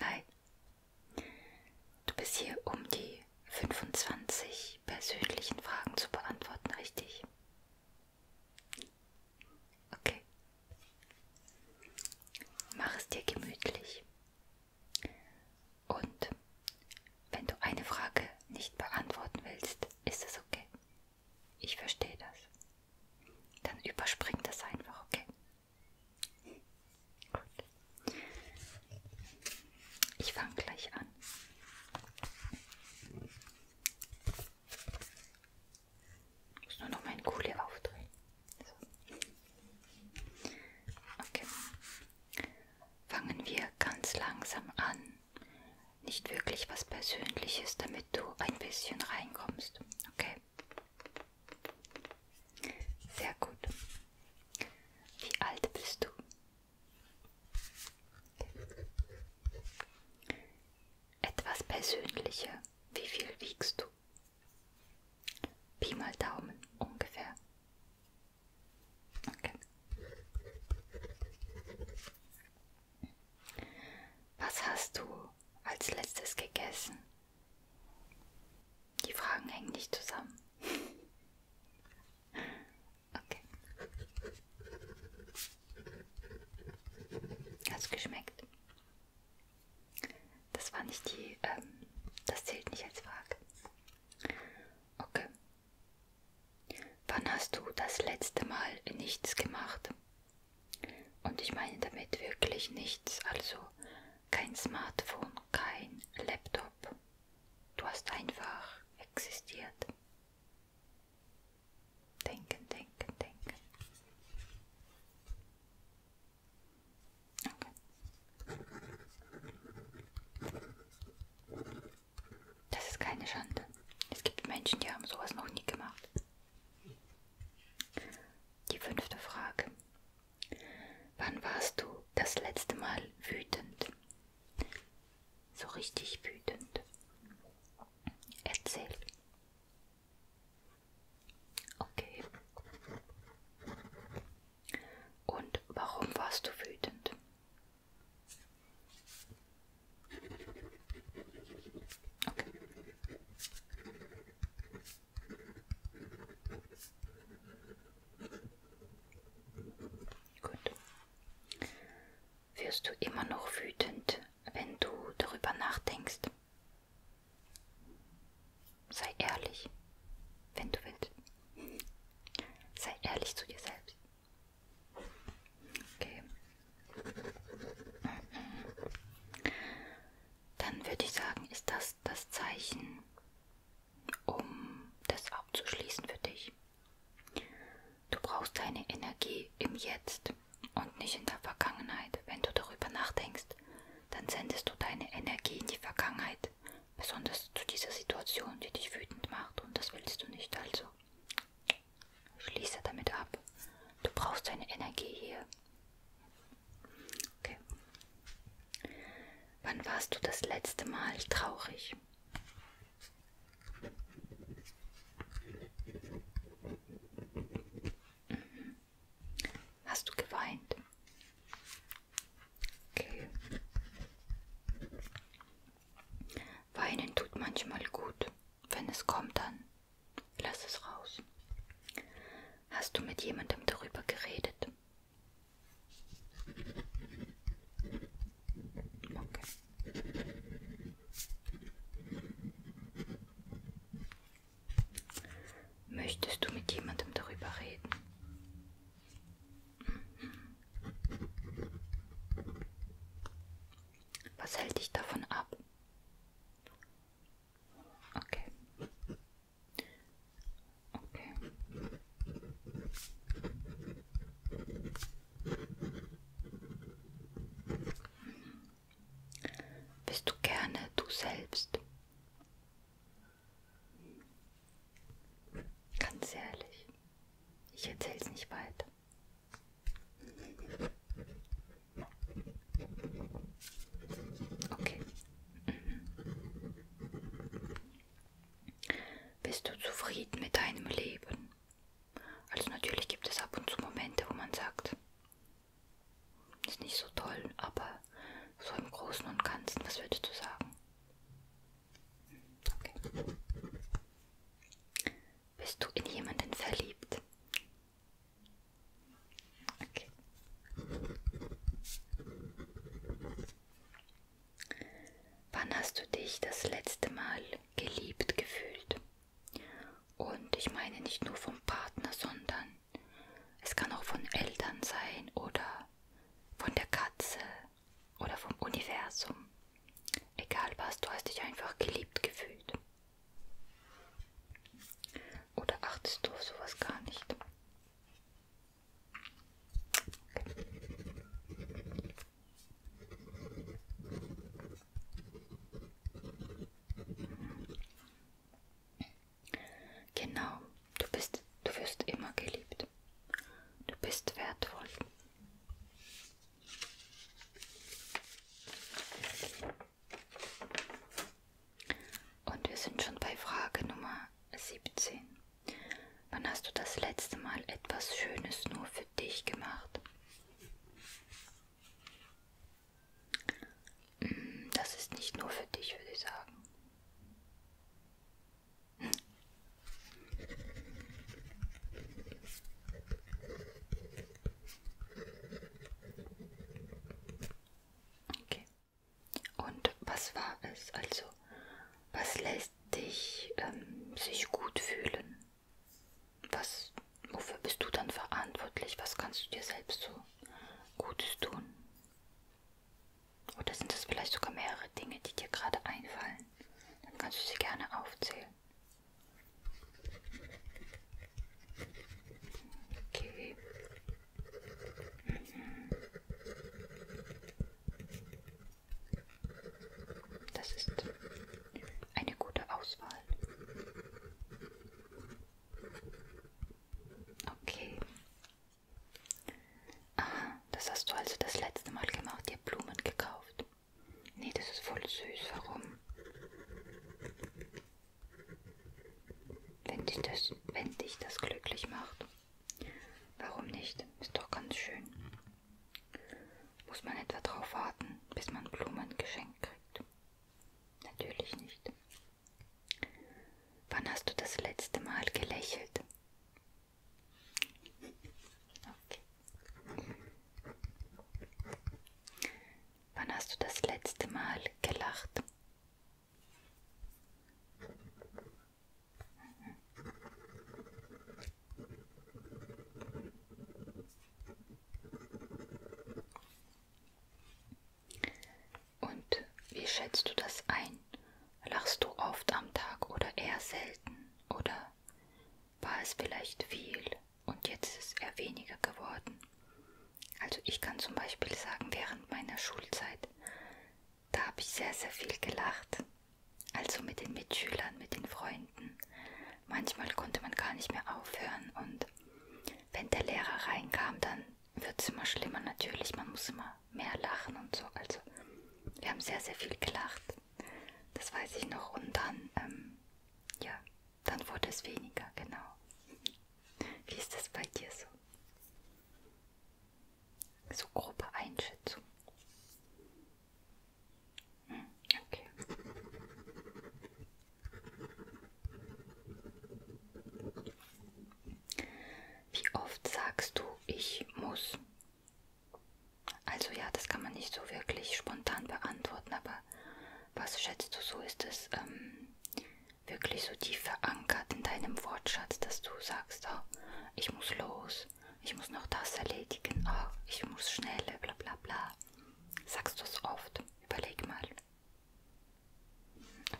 Hi. Du bist hier, um die 25 persönlichen Fragen zu beantworten, richtig? Okay. Mach es dir gemütlich. Und wenn du eine Frage nicht beantworten willst, ist es okay. Ich verstehe das. Dann überspring das einfach, okay? Gut. Ich fange gleich an. Ich muss nur noch meinen Kohle aufdrehen. So. Okay. Fangen wir ganz langsam an. Nicht wirklich was Persönliches, damit du ein bisschen reinkommst. Okay. Sehr gut. Wie alt bist du? Etwas persönlicher. Wie viel wiegst du? Pi mal Daumen ungefähr. Okay. Was hast du als letztes gegessen? Die Fragen hängen nicht zusammen. Okay. Hat's geschmeckt? Das war nicht die, ähm, das zählt nicht als Frage. Okay. Wann hast du das letzte Mal nichts gemacht? Und ich meine damit wirklich nichts, also kein Smartphone, kein Laptop. Du hast einfach existiert. Denken, denken, denken. Okay. Das ist keine Schande. Es gibt Menschen, die haben sowas noch nie gemacht. Die fünfte Frage. Wann warst du das letzte Mal wütend? So richtig wütend. Erzähl. Okay. Und warum warst du wütend? Okay. Gut. Wirst du immer noch wütend, wenn du darüber nachdenkst? Sei ehrlich, wenn du willst. Sei ehrlich zu dir selbst. Okay dann würde ich sagen, ist das das Zeichen, um das abzuschließen für dich. Du brauchst deine Energie im Jetzt und nicht in der Vergangenheit. Wenn du darüber nachdenkst, dann sendest du deine Energie in die Vergangenheit, besonders zu dieser Situation, die dich wütend macht und das willst du nicht. Also schließe damit ab. Du brauchst deine Energie hier Okay. Wann warst du das letzte Mal traurig? Mhm. Hast du geweint? Okay. Weinen tut manchmal gut, wenn es kommt dann Lass es raus. Hast du mit jemandem darüber geredet? Okay. Möchtest du mit jemandem darüber reden? Was hält dich davon ab? Okay. Okay. Bist du gerne du selbst? Ganz ehrlich, ich erzähl's nicht weiter. Okay. Bist du zufrieden mit deinem Leben? Also natürlich gibt es ab und zu Momente, wo man sagt, ist nicht so toll, aber so im Großen und Ganzen, was würdest du sagen? Okay. Bist du in jemanden verliebt? Okay. Wann hast du dich das letzte Mal geliebt gefühlt? Und ich meine nicht nur vom Partner, sondern es kann auch von Eltern sein oder von der Katze oder vom Universum. Egal was, du hast dich einfach geliebt gefühlt. Oder achtest du auf sowas gar nicht? Okay. Genau, du bist, du wirst immer geliebt. Du bist wertvoll. Und wir sind schon bei Frage Nummer 17. Wann hast du das letzte Mal etwas Schönes nur für dich gemacht? Hm, das ist nicht nur für dich, würde ich sagen. Hm. Okay. Und was war es? Also, was lässt dich ähm, sich gut fühlen? Was, wofür bist du dann verantwortlich? Was kannst du dir selbst so Gutes tun? Oder sind es vielleicht sogar mehrere Dinge, die dir gerade einfallen? Dann kannst du sie gerne aufzählen. Okay. Das ist eine gute Auswahl. Okay. Aha, das hast du also das letzte Mal gemacht, dir Blumen gekauft. Nee, das ist voll süß. Warum? Wenn dich das, wenn dich das glücklich macht. Warum nicht? Ist doch ganz schön. Muss man etwa drauf warten, bis man Blumen geschenkt kriegt? Natürlich nicht. Wann hast du das letzte Mal gelächelt? Okay. Wann hast du das letzte Mal gelacht? Und wie schätzt du das ein? Lachst du oft am Tag oder eher selten? Oder war es vielleicht viel und jetzt ist es eher weniger geworden? Also ich kann zum Beispiel sagen, während meiner Schulzeit, da habe ich sehr, sehr viel gelacht. Also mit den Mitschülern, mit den Freunden. Manchmal konnte man gar nicht mehr aufhören und wenn der Lehrer reinkam, dann wird es immer schlimmer natürlich. Man muss immer mehr lachen und so. Also wir haben sehr, sehr viel gelacht. Das weiß ich noch. Und dann, ähm, ja, dann wurde es weniger, genau. Wie ist das bei dir so? So grobe Einschätzung. Hm, okay. Wie oft sagst du, ich muss? Also ja, das kann man nicht so wirklich spontan beantworten, aber was schätzt du so? Ist es ähm, wirklich so tief verankert in deinem Wortschatz, dass du sagst, oh, ich muss los, ich muss noch das erledigen, oh, ich muss schneller, bla bla bla. Sagst du es oft? Überleg mal.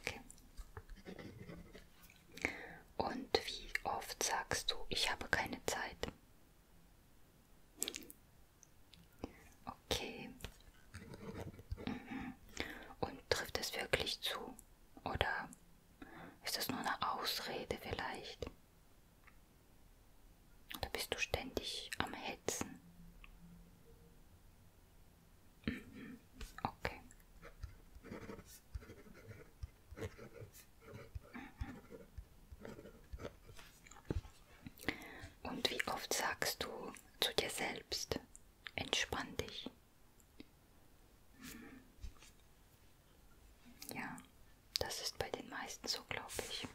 Okay. Und wie oft sagst du, ich habe keine Zeit? Okay, und trifft es wirklich zu? Oder ist das nur eine Ausrede vielleicht? Oder bist du ständig am Hetzen? Mhm. Okay. Und wie oft sagst du zu dir selbst, Entspann dich. Hm. Ja, das ist bei den meisten so, glaube ich.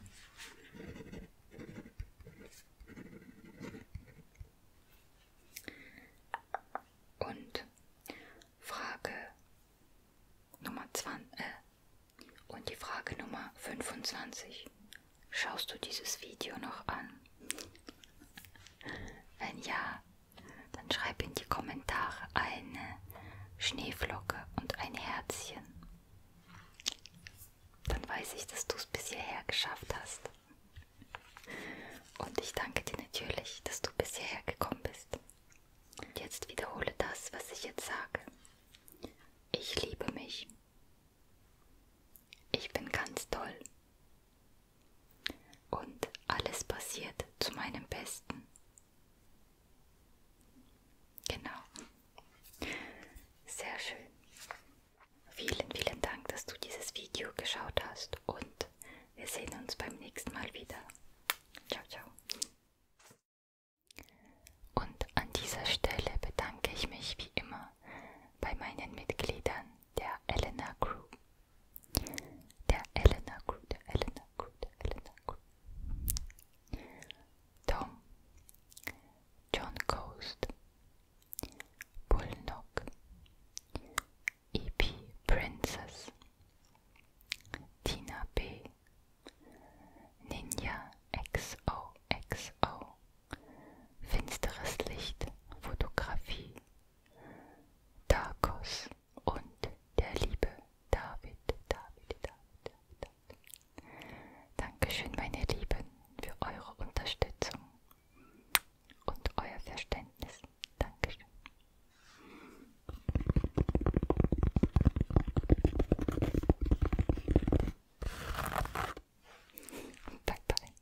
Und Frage Nummer 20 äh, und die Frage Nummer 25. Schaust du dieses Video noch an? Wenn ja, dann schreib in die Kommentare eine Schneeflocke und ein Herzchen. Dann weiß ich, dass du es bis hierher geschafft hast. Und ich danke dir natürlich, dass du bis hierher gekommen bist. Und jetzt wiederhole das, was ich jetzt sage. Ich liebe mich. Ich bin ganz toll. Und alles passiert zu meinem Besten. Genau. Sehr schön. Vielen, vielen Dank, dass du dieses Video geschaut hast und wir sehen uns beim nächsten Mal wieder. Ciao, ciao. Und an dieser Stelle bedanke ich mich wie immer bei meinen Mitgliedern der Elena Crew. Der Elena Crew, der Elena Crew, der Elena Crew. Tom, John Coast, Bullnock, E.P. Princess, Tina B., Ninja XOXO, Finsteres Licht, Fotografie, Darkos und der liebe David, David, David, David. Dankeschön, meine Lieben, für eure Unterstützung und euer Verständnis. Dankeschön. Bye bye.